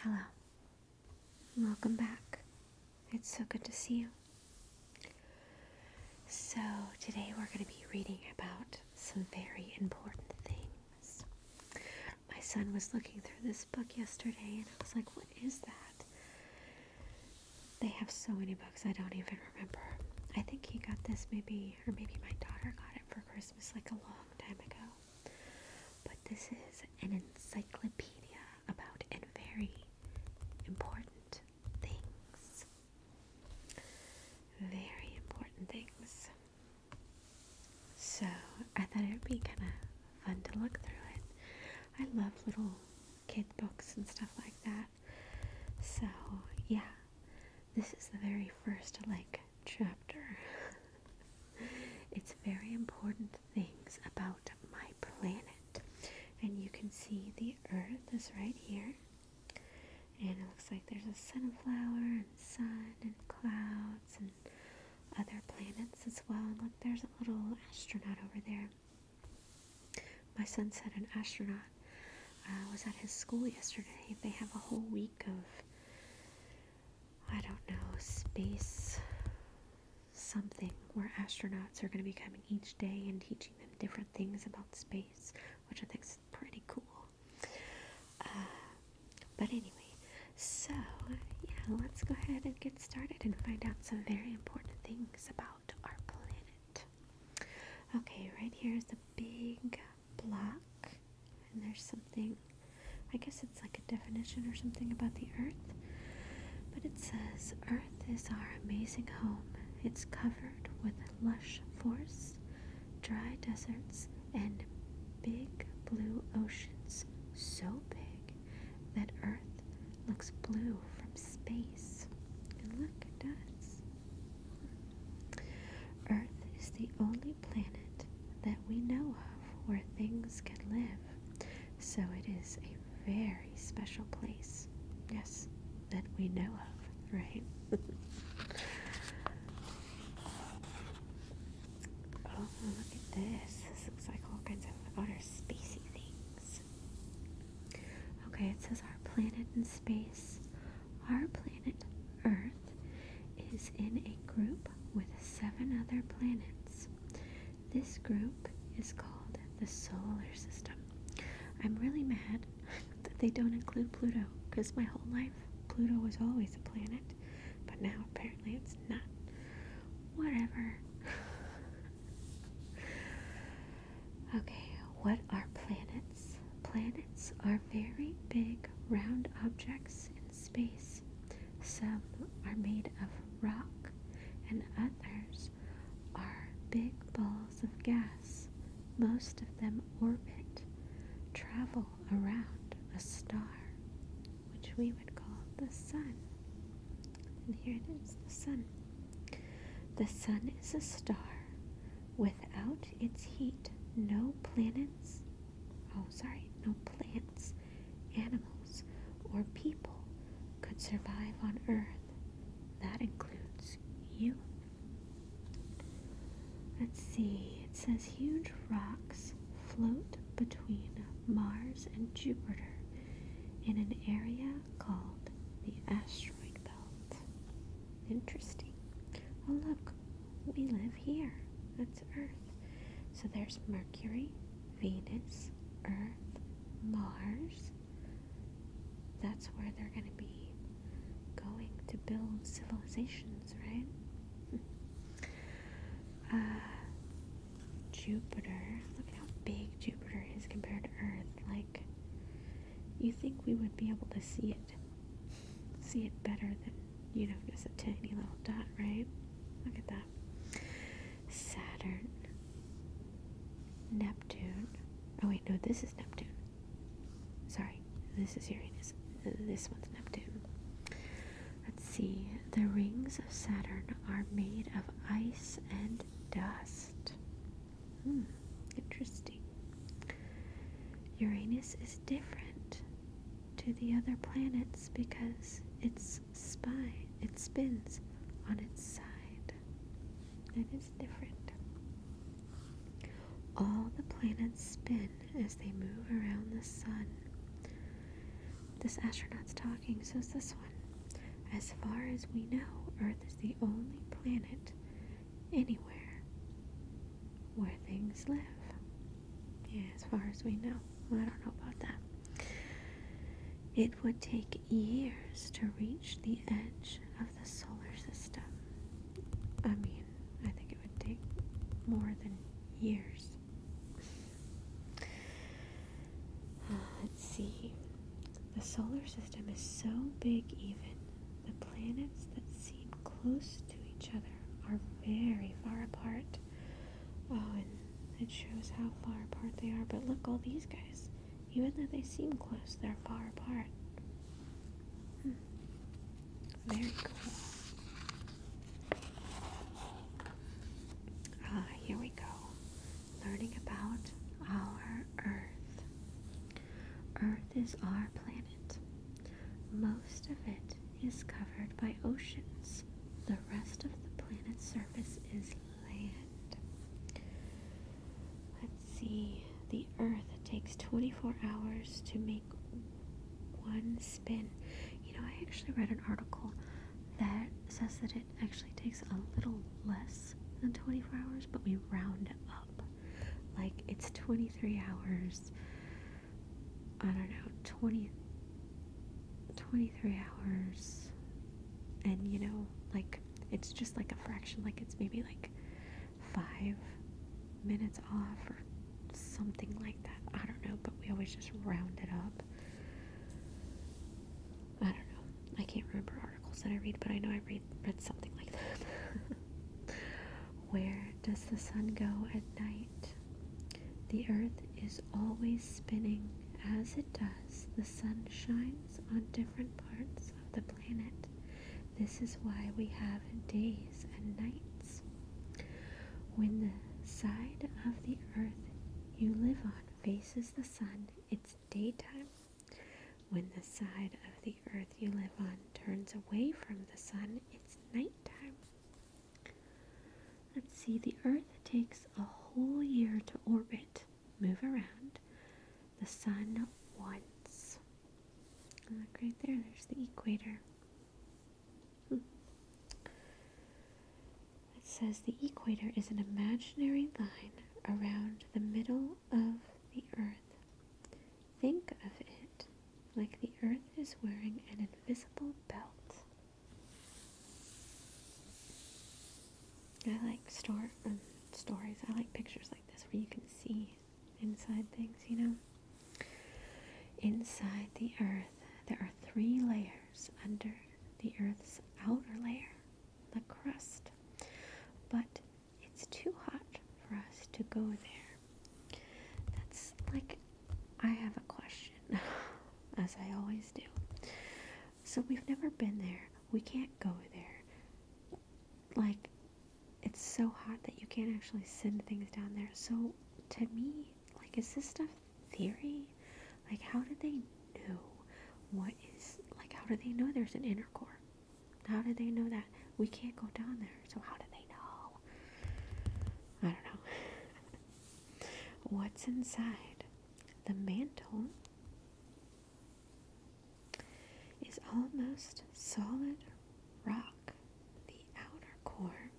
Hello. Welcome back. It's so good to see you. So, today we're going to be reading about some very important things. My son was looking through this book yesterday and I was like, what is that? They have so many books, I don't even remember. I think he got this maybe, or maybe my daughter got it for Christmas like a long time ago. But this is an encyclopedia about and very important things. Very important things. So I thought it would be kind of fun to look through it. I love little kid books and stuff like that. So yeah, this is the very first like chapter. it's very important things about my planet. And you can see the earth is right here. And it looks like there's a sunflower and sun and clouds and other planets as well. And look, there's a little astronaut over there. My son said an astronaut uh, was at his school yesterday. They have a whole week of, I don't know, space something where astronauts are going to be coming each day and teaching them different things about space, which I think is pretty cool. Uh, but anyway, so yeah, let's go ahead and get started and find out some very important things about our planet. Okay, right here is a big block, and there's something, I guess it's like a definition or something about the earth, but it says, Earth is our amazing home. It's covered with lush forests, dry deserts, and big blue oceans so big that Earth looks blue from space. And look, it does. Earth is the only planet that we know of where things can live, so it is a very special place. Yes, that we know of, right? oh, look at this. This looks like all kinds of outer spacey things. Okay, it says our planet in space our planet Earth is in a group with seven other planets. This group is called the Solar System. I'm really mad that they don't include Pluto because my whole life Pluto was always a planet, but now apparently it's not. Whatever. Okay, what are planets? Planets are very big round objects in space. Some are made of rock and others are big balls of gas. Most of them orbit, travel around a star, which we would call the sun. And here it is the sun. The sun is a star without its heat, no planets, oh, sorry, no plants, animals, or people could survive on Earth. That includes you. Let's see, it says huge rocks float between Mars and Jupiter in an area called the asteroid asteroid belt. Interesting. Oh, look, we live here. That's Earth. So there's Mercury, Venus, Earth, Mars. That's where they're going to be going to build civilizations, right? Uh, Jupiter. Look how big Jupiter is compared to Earth. Like, you think we would be able to see it see it better than, you know, just a tiny little dot, right? Look at that. Saturn. Neptune. Oh, wait, no, this is Neptune. Sorry, this is Uranus. This one's Neptune. Let's see. The rings of Saturn are made of ice and dust. Hmm, interesting. Uranus is different to the other planets because its spine, it spins on its side. That is different. All the planets spin as they move around the sun. This astronaut's talking, so is this one. As far as we know, Earth is the only planet anywhere where things live. Yeah, as far as we know. I don't know about that. It would take years to reach the edge of the solar system. I mean, I think it would take more than years. Uh, let's see. The solar system is so big, even the planets that seem close to each other are very far apart. Oh, and it shows how far apart they are. But look, all these guys, even though they seem close, they're far apart. Hmm. Very cool. Ah, here we go. Learning about our Earth. Earth is our planet. Most of it is covered by oceans. The rest of the planet's surface is land. Let's see. The Earth takes 24 hours to make one spin. You know, I actually read an article that says that it actually takes a little less than 24 hours, but we round up. Like it's 23 hours. I don't know, 20 23 hours. And you know, like it's just like a fraction, like it's maybe like 5 minutes off or something like that. I don't know, but we always just round it up. I don't know. I can't remember articles that I read, but I know I read read something like that. Where does the sun go at night? The earth is always spinning. As it does, the sun shines on different parts of the planet. This is why we have days and nights. When the side of the earth you live on faces the sun, it's daytime. When the side of the the earth you live on turns away from the sun, it's nighttime. Let's see, the earth takes a whole year to orbit, move around, the sun once. Look right there, there's the equator. Hmm. It says the equator is an imaginary line around the middle of the earth. Think of it like the earth is wearing an invisible belt. I like store um, stories. I like pictures like this where you can see inside things, you know. Inside the earth, there are three layers under the earth's outer layer, the crust. But it's too hot for us to go there. That's like, I have a question, as I always do. So we've never been there. We can't go there. Like, it's so hot that you can't actually send things down there. So, to me, like, is this stuff theory? Like, how do they know what is, like, how do they know there's an inner core? How do they know that? We can't go down there, so how do they know? I don't know. What's inside? The mantle is almost solid rock. The outer core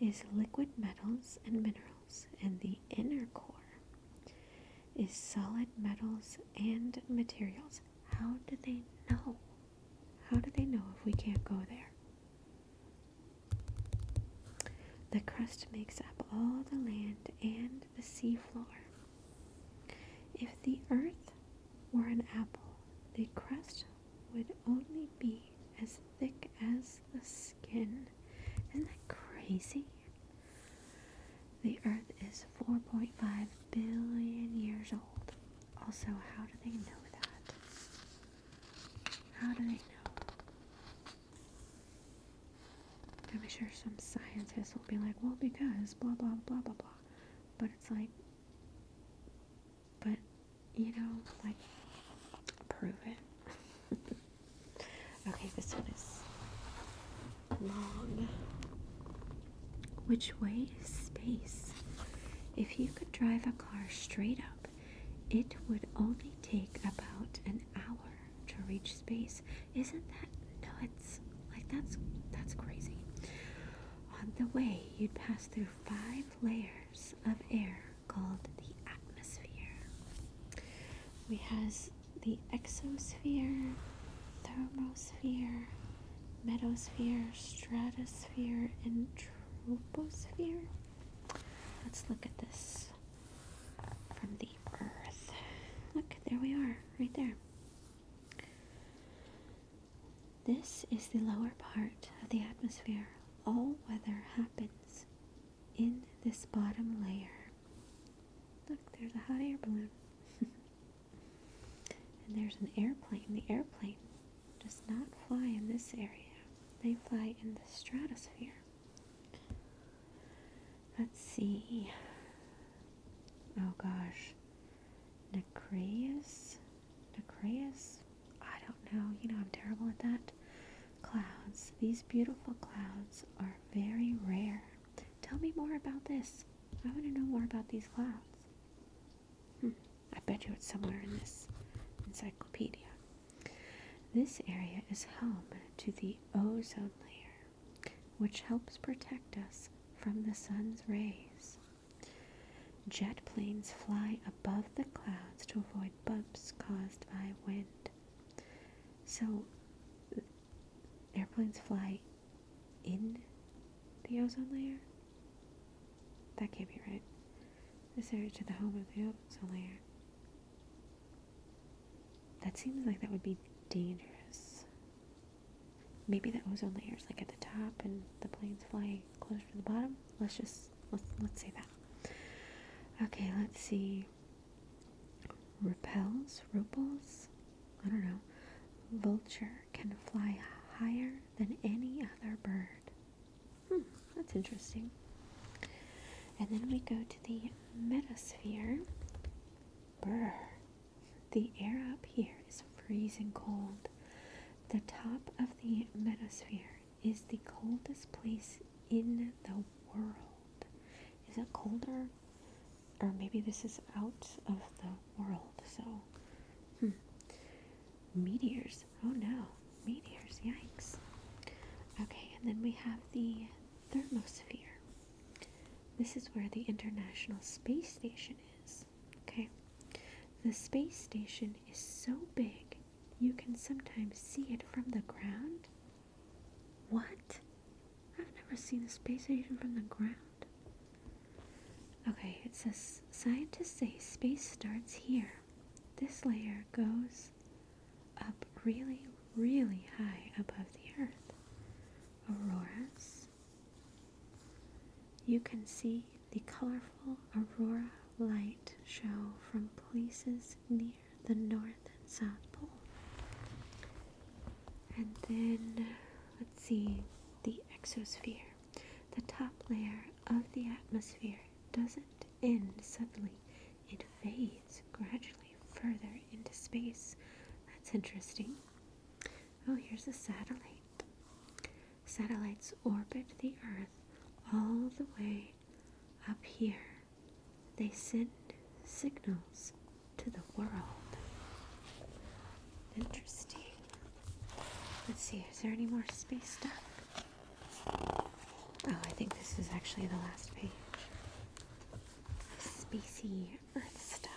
is liquid metals and minerals, and the inner core is solid metals and materials how do they know? How do they know if we can't go there? The crust makes up all the land and the sea floor. If the earth were an apple, the crust would only be as thick as the skin. Isn't that crazy? The earth is 4.5 billion years old. Also, how do they know that? How do they know? I'm sure some scientists will be like, well, because blah, blah, blah, blah, blah. But it's like, but, you know, like, prove it. okay, this one is long. Which way is space? If you could drive a car straight up, it would only take about an hour to reach space. Isn't that nuts? Like that's that's crazy. On the way, you'd pass through five layers of air called the atmosphere. We have the exosphere, thermosphere, meadosphere, stratosphere, and troposphere. Let's look at this from the Earth. Look, there we are, right there. This is the lower part of the atmosphere. All weather happens in this bottom layer. Look, there's a hot air balloon. And there's an airplane. The airplane does not fly in this area, they fly in the stratosphere. Let's see. Oh gosh. Nacreus? Nacreus? I don't know. You know, I'm terrible at that. Clouds. These beautiful clouds are very rare. Tell me more about this. I want to know more about these clouds. Hmm. I bet you it's somewhere in this encyclopedia. This area is home to the ozone layer, which helps protect us from the sun's rays. Jet planes fly above the clouds to avoid bumps caused by wind. So, airplanes fly in the ozone layer? That can't be right. This area to the home of the ozone layer. That seems like that would be dangerous. Maybe the ozone layer is like at the top and the planes fly closer to the bottom. Let's just let's let's say that. Okay, let's see. Repels, repels. I don't know. Vulture can fly higher than any other bird. Hmm, that's interesting. And then we go to the metasphere. Brr. The air up here is freezing cold. The top of the metasphere is the coldest place in the world. Is it colder? Or maybe this is out of the world. So, hmm. meteors. Oh no, meteors! Yikes. Okay, and then we have the thermosphere. This is where the International Space Station is. Okay, the space station is so big you can sometimes see it from the ground. What? I've never seen a space station from the ground. Okay, it says scientists say space starts here. This layer goes up really, really high above the Earth. Auroras. You can see the colorful aurora light show from places near the North and South Pole. And then, let's see, the exosphere. The top layer of the atmosphere doesn't end suddenly, it fades gradually further into space. That's interesting. Oh, here's a satellite. Satellites orbit the Earth all the way up here. They send signals to the world. Interesting. Let's see, is there any more space stuff? Oh, I think this is actually the last page. Spacey earth stuff.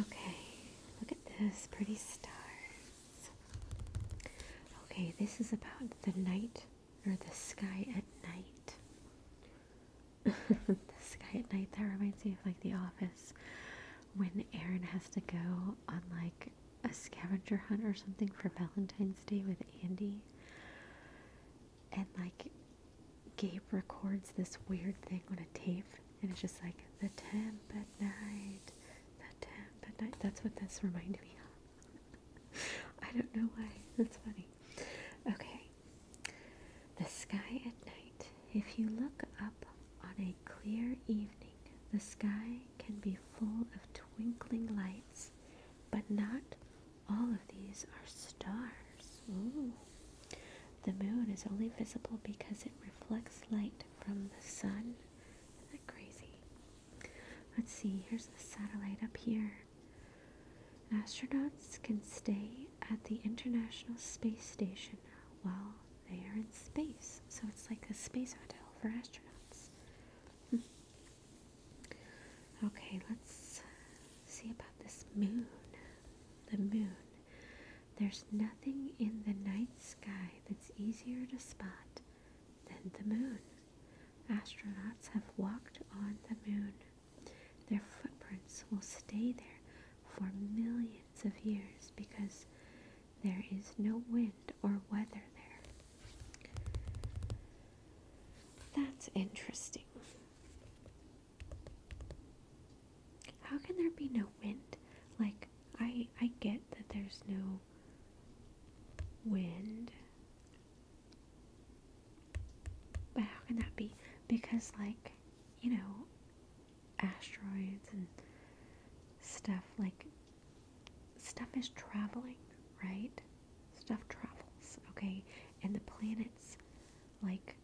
Okay, look at this, pretty stars. Okay, this is about the night or the sky at night. the sky at night that reminds me of like the office when Aaron has to go on like a scavenger hunt or something for Valentine's Day with Andy and like Gabe records this weird thing on a tape and it's just like the temp at night the temp at night that's what this reminded me of I don't know why that's funny okay the sky at night. If you look up on a clear evening, the sky can be full of twinkling lights, but not all of these are stars. Ooh. The moon is only visible because it reflects light from the sun. Isn't that crazy? Let's see, here's the satellite up here. Astronauts can stay at the International Space Station while they are in space. So it's like a space hotel for astronauts. Hmm. Okay, let's see about this moon. The moon. There's nothing in the night sky that's easier to spot than the moon. Astronauts have walked on the moon. Their footprints will stay there for millions of years because there is no wind or weather there. That's interesting. How can there be no wind? Like, I, I get that there's no wind. But how can that be? Because, like, you know, asteroids and stuff like stuff is traveling, right? Stuff travels, okay? And the planets like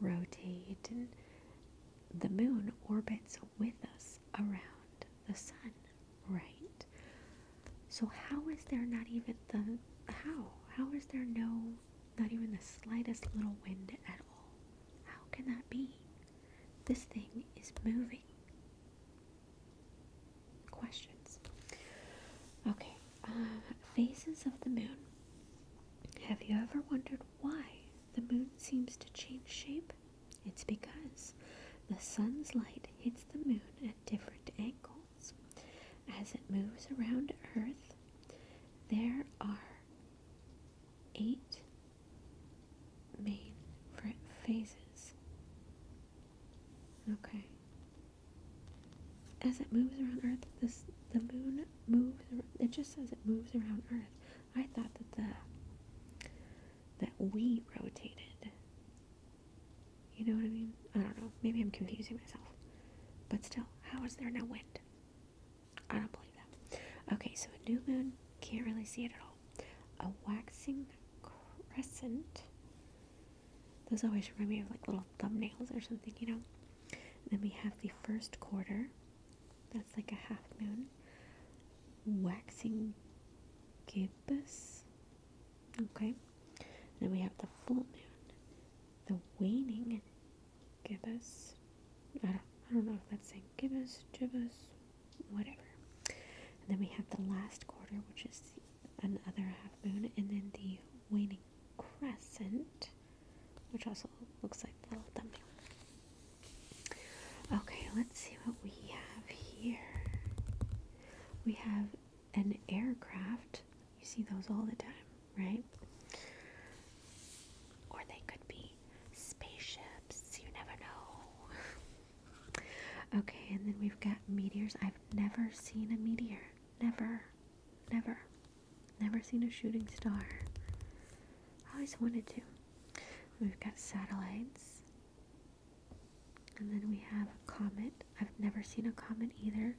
rotate and the moon orbits with us around the sun, right? So how is there not even the how? How is there no not even the slightest little wind at all. How can that be? This thing is moving. Questions. Okay, um, phases of the moon. Have you ever wondered why the moon seems to change shape? It's because the sun's light hits the moon at different angles. As it moves around Earth, there are eight main phases. Okay. As it moves around Earth, this the moon moves. around. It just says it moves around Earth. I thought that the that we rotated. You know what I mean? I don't know. Maybe I'm confusing myself. But still, how is there no wind? I don't believe that. Okay, so a new moon, can't really see it at all. A waxing crescent. Those always remind me of like little thumbnails or something, you know? then we have the first quarter. That's like a half moon. Waxing gibbous. Okay. then we have the full moon, the waning gibbous. I don't, I don't know if that's saying gibbous, gibbous, whatever. And then we have the last quarter, which is another half moon, and then the waning crescent, which also looks like a little thumbnail. Okay, let's see what we have here. We have an aircraft. You see those all the time right? Or they could be spaceships, you never know. okay, and then we've got meteors. I've never seen a meteor. Never. Never. Never seen a shooting star. I always wanted to. We've got satellites. And then we have a comet. I've never seen a comet either.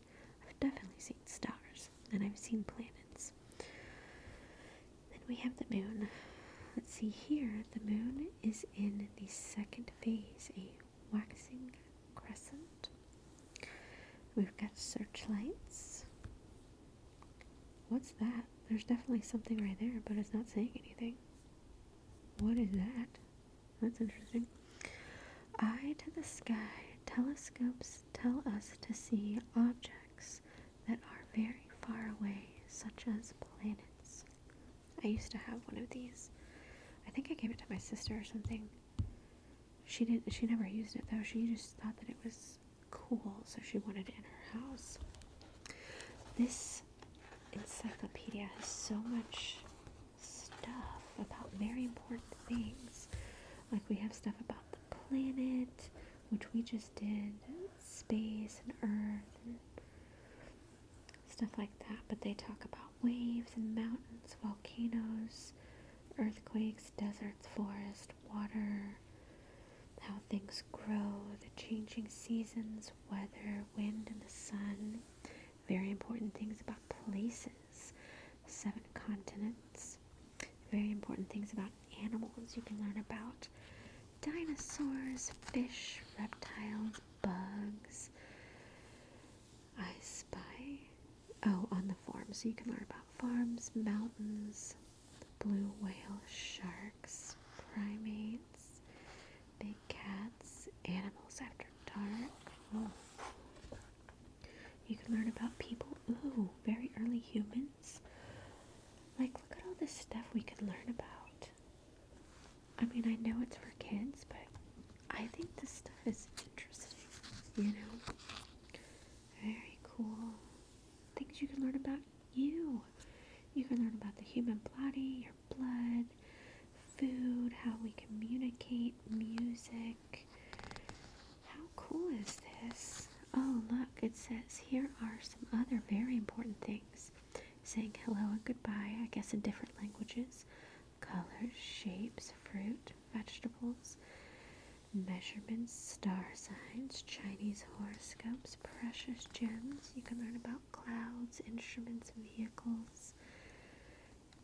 I've definitely seen stars and I've seen planets. Then we have the moon. Let's see here. The moon is in the second phase, a waxing crescent. We've got searchlights. What's that? There's definitely something right there, but it's not saying anything. What is that? That's interesting. Eye to the sky, telescopes tell us to see objects that are very far away, such as planets. I used to have one of these. I think I gave it to my sister or something. She didn't she never used it though. She just thought that it was cool, so she wanted it in her house. This encyclopedia has so much stuff about very important things. Like we have stuff about the planet, which we just did space and earth and stuff like that. But they talk about waves and mountains, volcanoes, earthquakes, deserts, forest, water, how things grow, the changing seasons, weather, wind, and the sun. Very important things about places, seven continents, very important things about animals you can learn about dinosaurs, fish, reptiles, bugs. I spy. Oh, on the farm. So you can learn about farms, mountains, blue whale, sharks, primates, big cats, animals after dark. Oh. You can learn about people. Ooh, very early humans like, look at all this stuff we could learn about. I mean, I know it's for kids, but I think this stuff is interesting, you know? Very cool. Things you can learn about you. You can learn about the human body, your blood, food, how we communicate, music, cool is this? Oh, look, it says here are some other very important things. Saying hello and goodbye, I guess in different languages. Colors, shapes, fruit, vegetables, measurements, star signs, Chinese horoscopes, precious gems. You can learn about clouds, instruments, vehicles,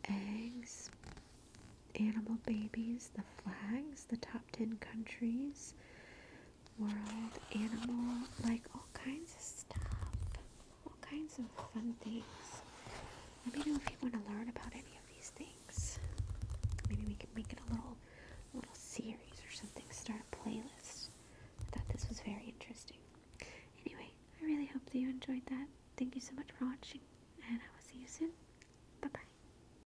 eggs, animal babies, the flags, the top 10 countries, World, Animal, like all kinds of stuff, all kinds of fun things. Let me know if you want to learn about any of these things. Maybe we can make it a little, little series or something. Start a playlist. I thought this was very interesting. Anyway, I really hope that you enjoyed that. Thank you so much for watching, and I will see you soon. Bye bye.